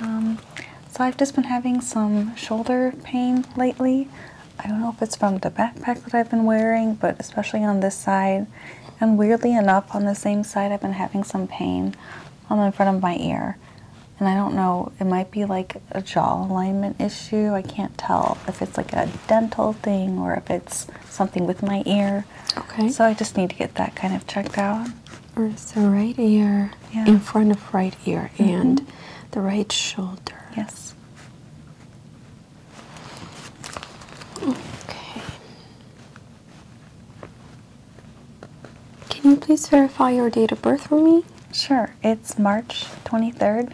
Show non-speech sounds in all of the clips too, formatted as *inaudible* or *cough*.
Um, so I've just been having some shoulder pain lately. I don't know if it's from the backpack that I've been wearing, but especially on this side. And weirdly enough, on the same side, I've been having some pain on the front of my ear. And I don't know, it might be like a jaw alignment issue. I can't tell if it's like a dental thing or if it's something with my ear. Okay. So I just need to get that kind of checked out. right ear, yeah. in front of right ear, mm-hmm. and the right shoulder. Yes. Okay. Can you please verify your date of birth for me? Sure. It's March 23rd,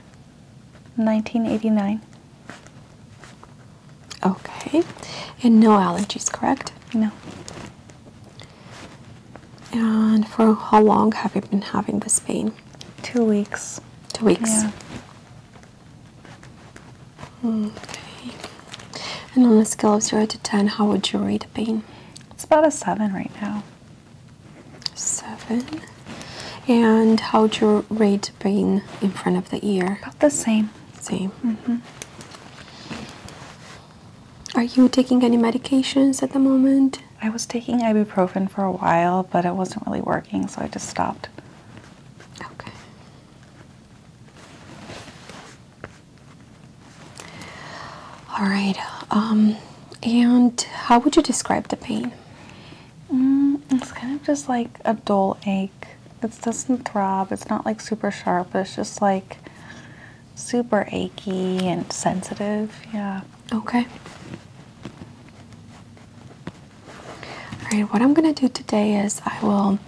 1989. Okay. And no allergies, correct? No. And for how long have you been having this pain? Two weeks. Two weeks. Okay. And on a scale of 0 to 10, how would you rate the pain? It's about a 7 right now. 7. And how would you rate Pain in front of the ear. About the same. Same. -hmm. Are you taking any medications at the moment? I was taking ibuprofen for a while, but it wasn't really working, so I just stopped. Okay. All right. Um, and how would you describe the pain? Mm, it's kind of just like a dull ache. It doesn't throb. It's not like super sharp. But it's just like super achy and sensitive. Yeah. Okay. All right. What I'm gonna do today is I will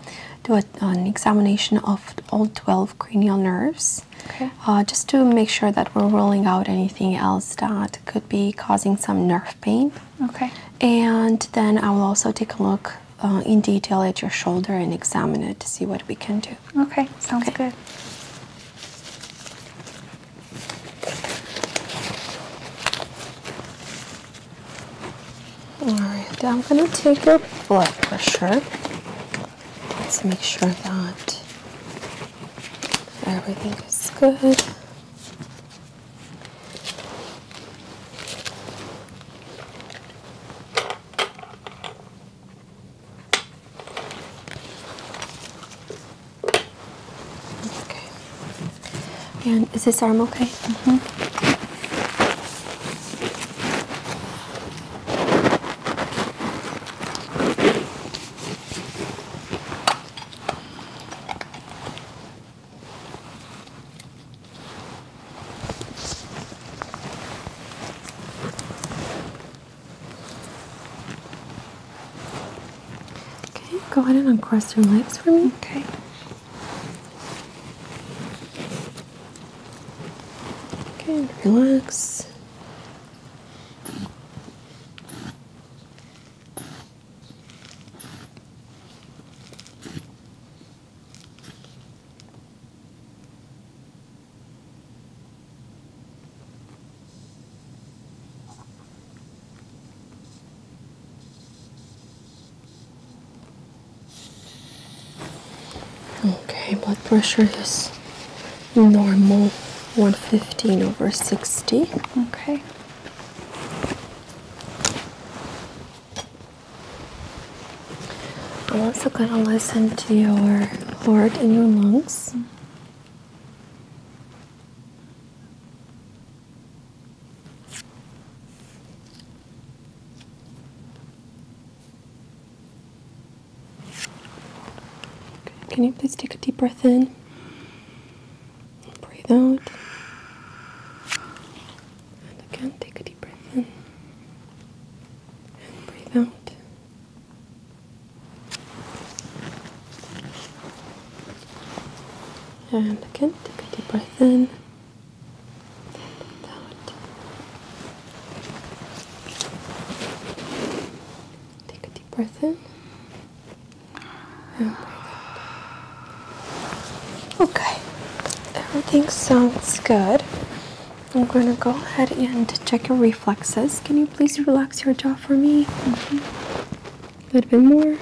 do an examination of all 12 cranial nerves. Okay. Uh, just to make sure that we're ruling out anything else that could be causing some nerve pain. Okay. And then I will also take a look uh, in detail at your shoulder and examine it to see what we can do. Okay, sounds good. All right, I'm going to take your blood pressure. Let's make sure that everything is good. Okay. And is this arm okay? -hmm. Okay, go ahead and uncross your legs for me. Okay. Okay, relax. Okay, blood pressure is normal 115 over 60. Okay. I'm also going to listen to your heart and your lungs. Can you please take a deep breath in Breathe out. And again, take a deep breath in. And breathe out. And again, take a deep breath in. And out. Take a deep breath in. *sighs* Okay, everything sounds good. I'm going to go ahead and check your reflexes. Can you please relax your jaw for me? Mm-hmm. A little bit more.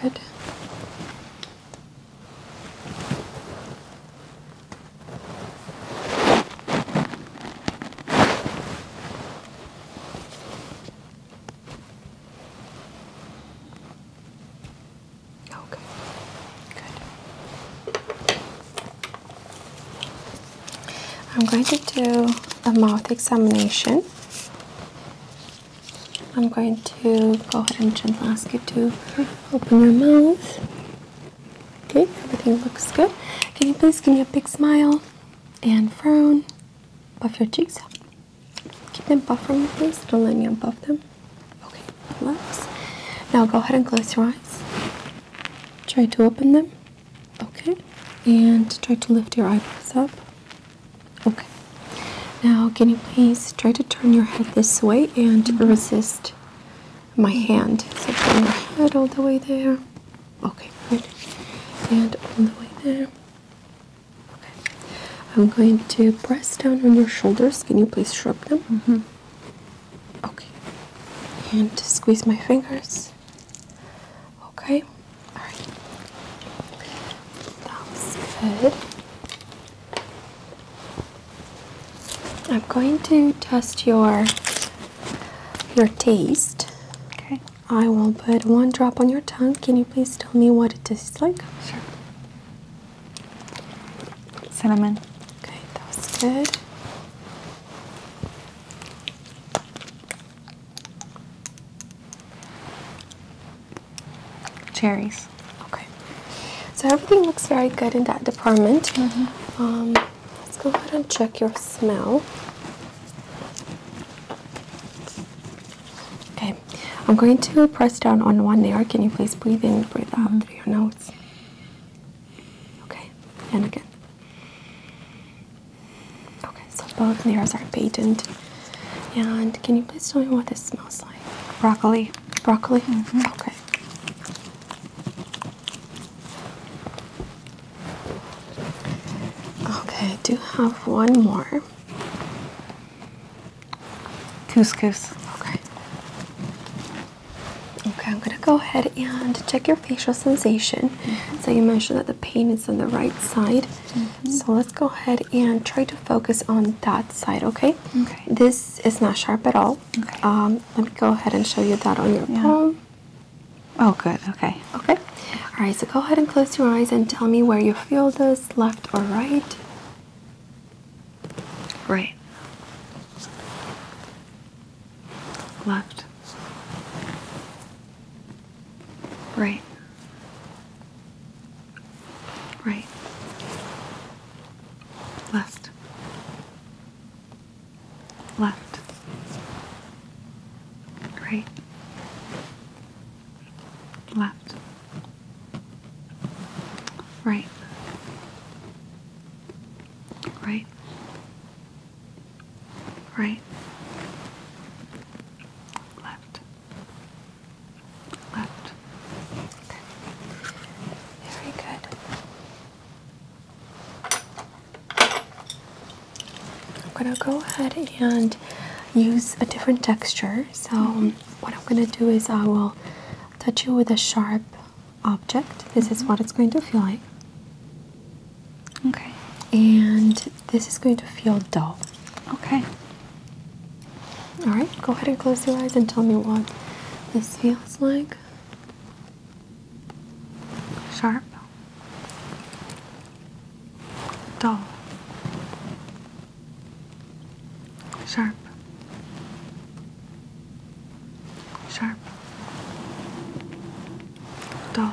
Good. Okay. Good. I'm going to do a mouth examination. I'm going to go ahead and gently ask you to open your mouth. Okay, everything looks good. Can you please give me a big smile and frown? Puff your cheeks up. Keep them puffed from you, please. Don't let me unpuff them. Okay, relax. Now go ahead and close your eyes. Try to open them. Okay, and try to lift your eyebrows up. Okay. Now, can you please try to turn your head this way and mm-hmm. resist my hand? So turn your head all the way there. Okay, good. And all the way there. Okay. I'm going to press down on your shoulders. Can you please shrug them? Mm -hmm. Okay. And squeeze my fingers. Okay. All right. That's good. I'm going to test your your taste. Okay. I will put one drop on your tongue. Can you please tell me what it tastes like? Sure. Cinnamon. Okay, that was good. Cherries. Okay. So everything looks very good in that department. Mm-hmm. Um, let's go ahead and check your smell. Okay. I'm going to press down on one layer. Can you please breathe in, breathe out mm-hmm. through your nose? Okay. And again. Okay. So both layers are patent. And can you please tell me what this smells like? Broccoli. Broccoli? Mm-hmm. Okay. Okay, I do have one more. Couscous. Okay. Okay, I'm gonna go ahead and check your facial sensation. Mm-hmm. So you mentioned that the pain is on the right side. So let's go ahead and try to focus on that side, okay? Okay. This is not sharp at all. Okay. Um, let me go ahead and show you that on your palm. Oh, good. Okay. Okay. All right. So go ahead and close your eyes and tell me where you feel this, left or right. Right. Left. Right. Right. Left. Left. Right. Left. Right. Right. Right. Left. Left. Very good. I'm going to go ahead and use a different texture. So, what I'm going to do is I will touch you with a sharp object. This is mm-hmm. what it's going to feel like. Okay. And this is going to feel dull. Okay. All right, go ahead and close your eyes and tell me what this feels like. Sharp, dull, sharp, sharp, dull,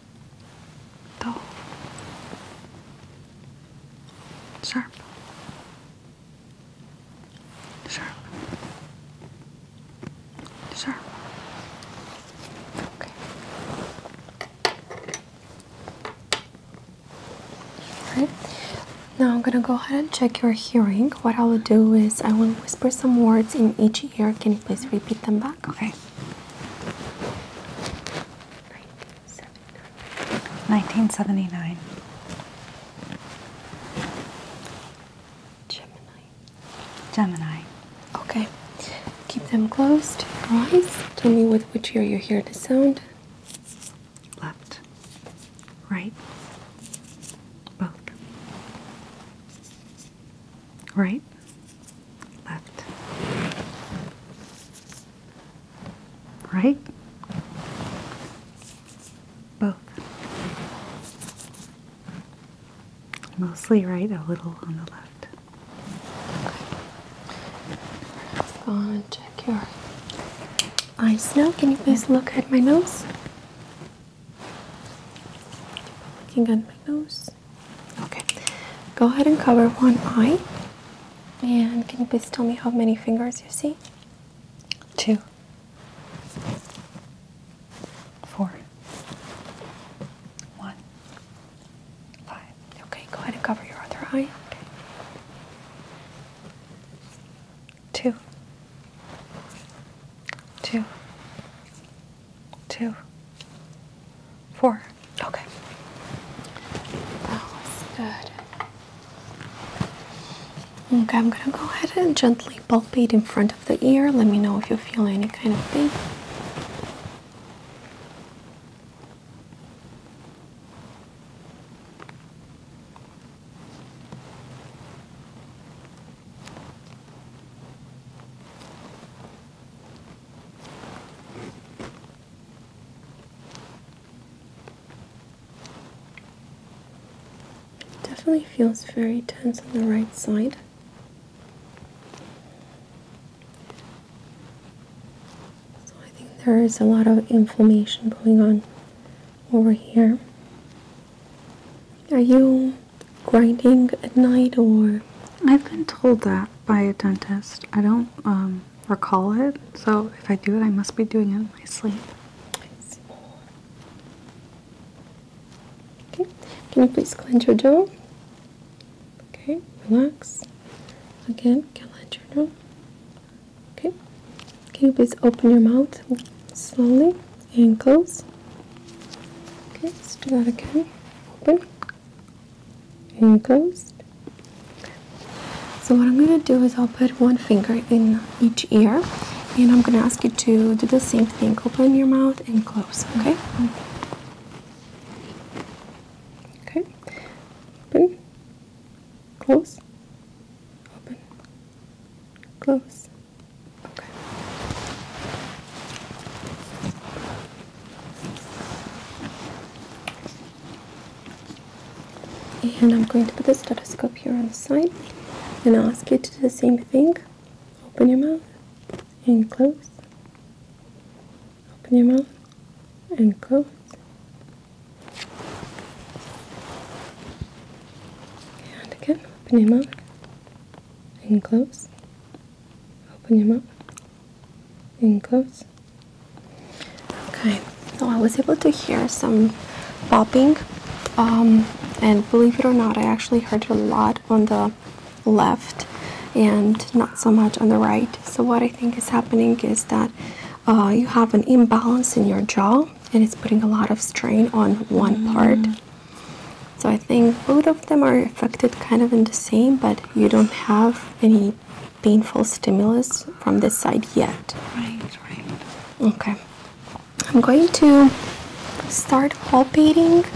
dull, Okay. now I'm gonna go ahead and check your hearing. What I will do is I will whisper some words in each ear. Can you please repeat them back? Okay. 1979. Gemini. Gemini. Okay. Keep them closed. Your eyes. Tell me with which ear you hear the sound. Left. Right. Both right, left, right, both. Mostly right, a little on the left. Let's go and check your eyes now. Can you please look at my nose? Keep looking at my nose. Okay. Go ahead and cover one eye. And can you please tell me how many fingers you see? Two, four, one, five. Okay, go ahead and cover your other eye. Okay. Two. Two two, four. Okay. That was good. Okay, I'm gonna go ahead and gently palpate in front of the ear. Let me know if you feel any kind of pain definitely feels very tense on the right side. So I think there is a lot of inflammation going on over here. Are you grinding at night or I've been told that by a dentist. I don't um, recall it, so if I do it, I must be doing it in my sleep. Okay, can you please clench your jaw? Okay, relax. Again, clench your jaw. Okay, can you please open your mouth slowly and close? Okay, let's do that again. Open and closed. So what I'm going to do is I'll put one finger in each ear and I'm going to ask you to do the same thing. Open your mouth and close, okay? Okay. Open. Close. Open. Close. Okay. And I'm going to put the stethoscope here on the side and ask you to do the same thing. Open your mouth and close. Open your mouth and close. And again, open your mouth and close. Open him up and close. Okay, so I was able to hear some popping, um, and believe it or not, I actually heard a lot on the left and not so much on the right. So what I think is happening is that uh, you have an imbalance in your jaw and it's putting a lot of strain on one part. Mm. So I think both of them are affected kind of in the same, but you don't have any painful stimulus from this side yet. Right, right. Okay. I'm going to start palpating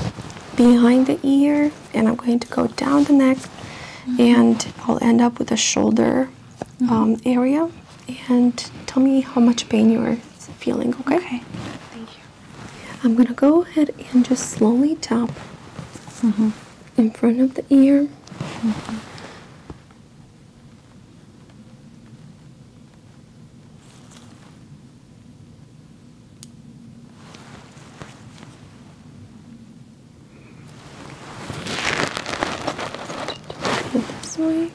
behind the ear and I'm going to go down the neck mm-hmm. and I'll end up with the shoulder mm-hmm. um, area. And tell me how much pain you're feeling, okay? Okay. Thank you. I'm going to go ahead and just slowly tap mm-hmm. in front of the ear. This way.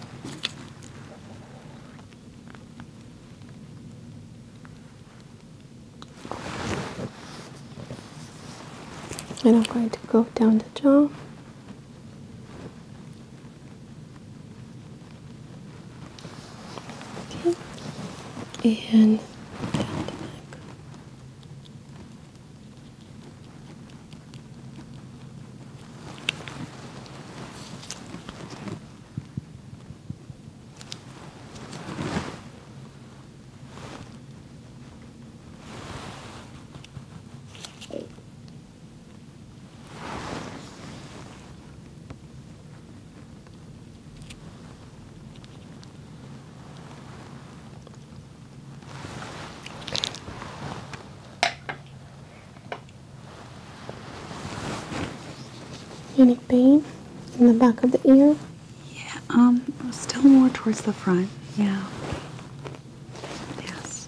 And I'm going to go down the jaw. And down the neck. Any pain in the back of the ear? Yeah, um, still more towards the front. Yeah. Yes.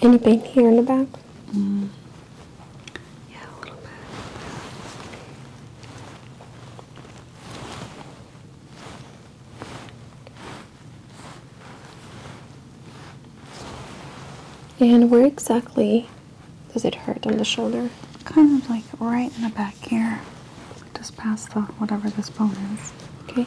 Any pain here in the back? Mm. Yeah, a little bit. And where exactly does it hurt on the shoulder? Kind of like right in the back here, just past the whatever this bone is. Okay.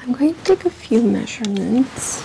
I'm going to take a few measurements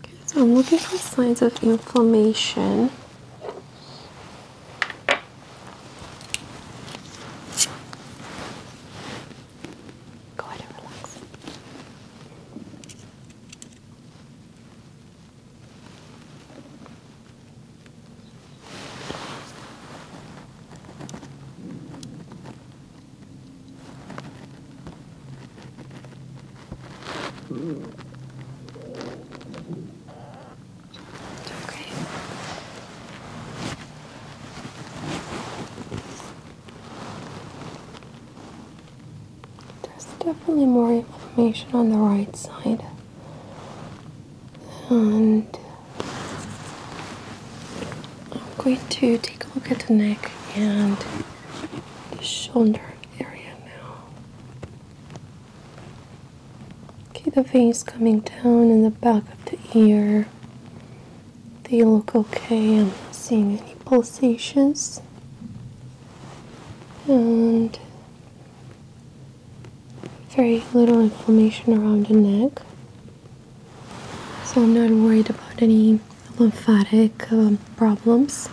Okay, so I'm looking for signs of inflammation. Go ahead and relax. There's definitely more inflammation on the right side. And I'm going to take a look at the neck and the shoulder area now. Okay, the veins coming down in the back of the ear. They look okay. I'm not seeing any pulsations. And very little inflammation around the neck. So I'm not worried about any lymphatic um, problems.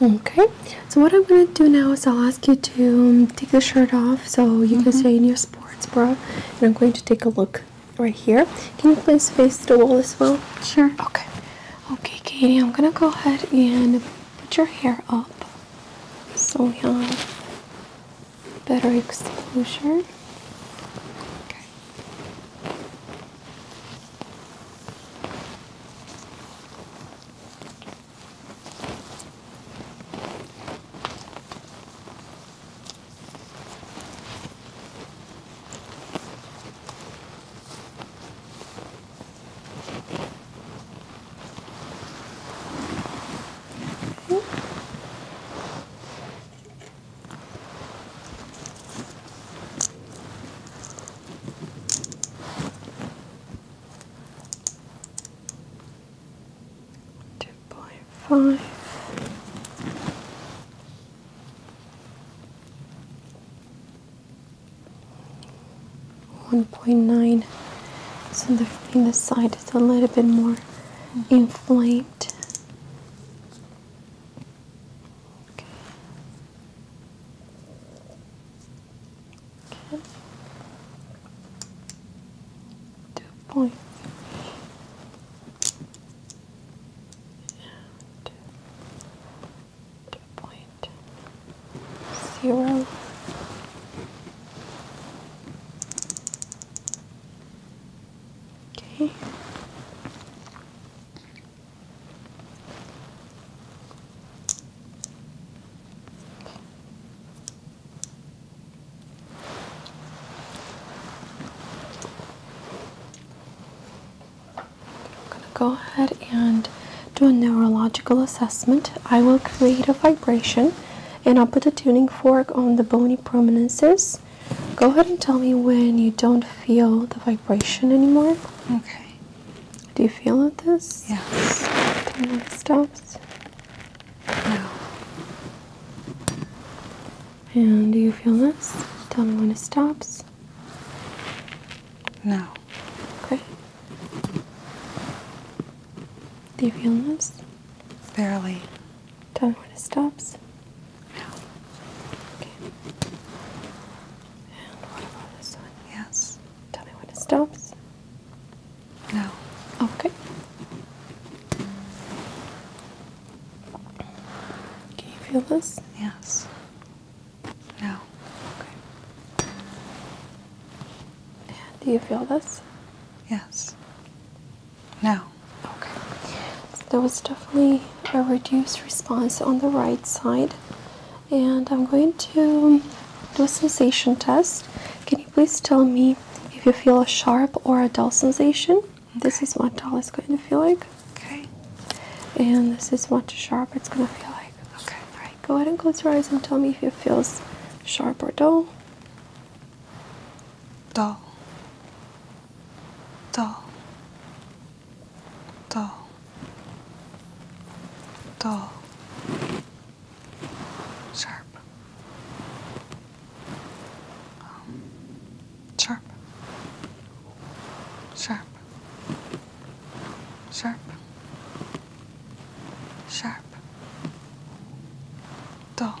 Okay, so what I'm going to do now is I'll ask you to um, take the shirt off so you can mm-hmm. stay in your sports bra. And I'm going to take a look right here. Can you please face the wall as well? Sure. Okay. Okay, Katie, I'm going to go ahead and put your hair up so yeah better exposure. Okay. Okay. Two point five. One point nine. So the in the side is a little bit more inflamed right. Okay. Okay. Two points. And two point zero. Okay. I'm going to go ahead and do a neurological assessment. I will create a vibration and I'll put a tuning fork on the bony prominences go ahead and tell me when you don't feel the vibration anymore. Okay. Do you feel it this? Yes. Can it stops? No. And do you feel this? Tell me when it stops. No. Okay. Do you feel this? Barely. Tell me when it stops. No. Okay. And what about this one? Yes. Tell me when it stops. No. Okay. Can you feel this? Yes. No. Okay. do you feel this? Yes. No. Okay. So there was definitely a reduced response on the right side. And I'm going to do a sensation test. Can you please tell me if you feel a sharp or a dull sensation? This is what dull is going to feel like. Okay. And this is what sharp it's going to feel like. Okay. All right. Go ahead and close your eyes and tell me if it feels sharp or dull doll, doll, doll, doll, sharp, um, sharp, sharp, sharp, sharp, doll.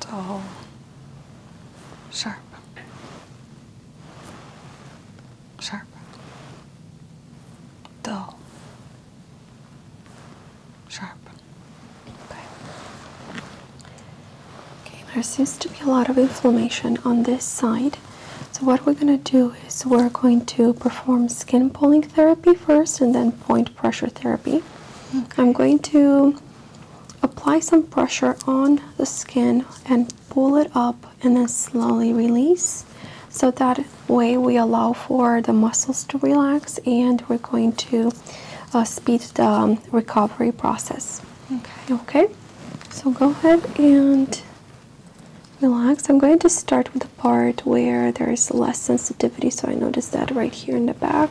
dull, sharp, sharp, dull, sharp. Okay. Okay, there seems to be a lot of inflammation on this side. So what we're going to do is we're going to perform skin pulling therapy first and then point pressure therapy. I'm going to apply some pressure on the skin and pull it up and then slowly release. So that way we allow for the muscles to relax and we're going to uh, speed the recovery process. Okay. Okay. So go ahead and relax. I'm going to start with the part where there is less sensitivity. So I noticed that right here in the back.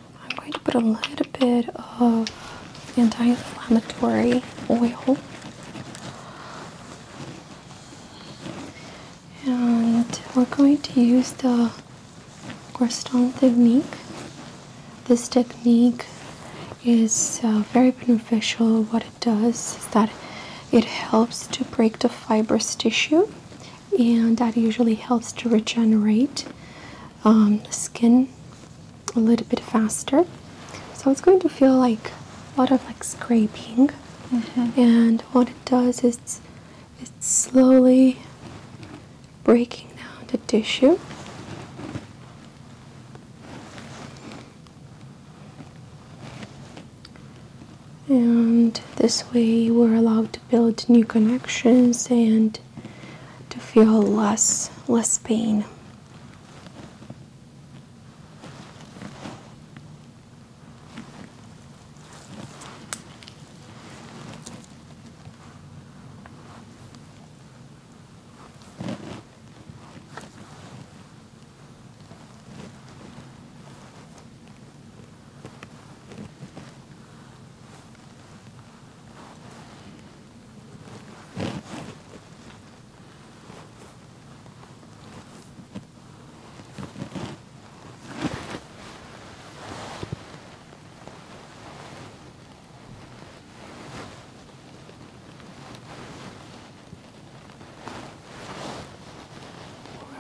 I'm going to put a little bit of anti-inflammatory oil and we're going to use the Groston technique. This technique is uh, very beneficial. What it does is that it helps to break the fibrous tissue and that usually helps to regenerate um, skin a little bit faster. So it's going to feel like a lot of like scraping. Mm-hmm. And what it does is it's slowly breaking down the tissue. And this way we're allowed to build new connections and to feel less less pain.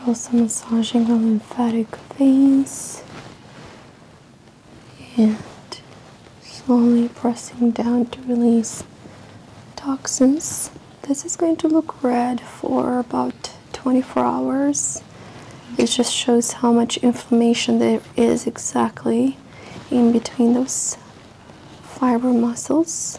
We're also massaging the lymphatic veins and slowly pressing down to release toxins. This is going to look red for about 24 hours. It just shows how much inflammation there is exactly in between those fiber muscles.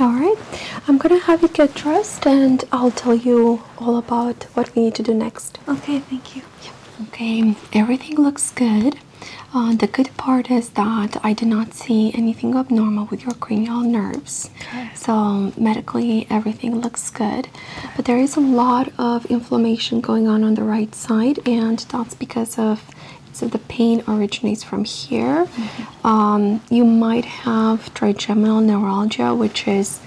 Alright, I'm gonna have you get dressed and I'll tell you all about what we need to do next. Okay, thank you. Okay, everything looks good. Uh, the good part is that I did not see anything abnormal with your cranial nerves. Okay. So, medically, everything looks good. But there is a lot of inflammation going on on the right side, and that's because of so the pain originates from here. Um, you might have trigeminal neuralgia, which is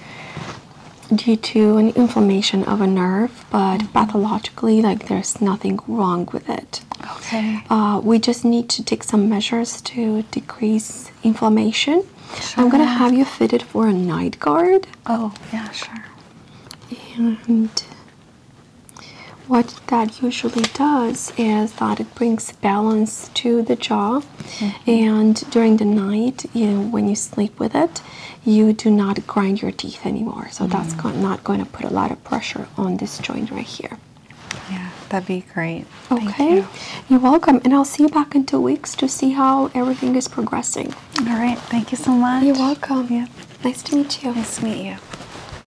due to an inflammation of a nerve, but mm-hmm. pathologically, like there's nothing wrong with it. Okay. Uh, we just need to take some measures to decrease inflammation. Sure. I'm gonna have you fitted for a night guard. Oh yeah, sure. And what that usually does is that it brings balance to the jaw, mm-hmm. and during the night, you know, when you sleep with it, you do not grind your teeth anymore. So mm-hmm. that's not going to put a lot of pressure on this joint right here. Yeah, that'd be great. Okay, you're welcome, and I'll see you back in two weeks to see how everything is progressing. All right, thank you so much. You're welcome. Yeah, nice to meet you. Nice to meet you.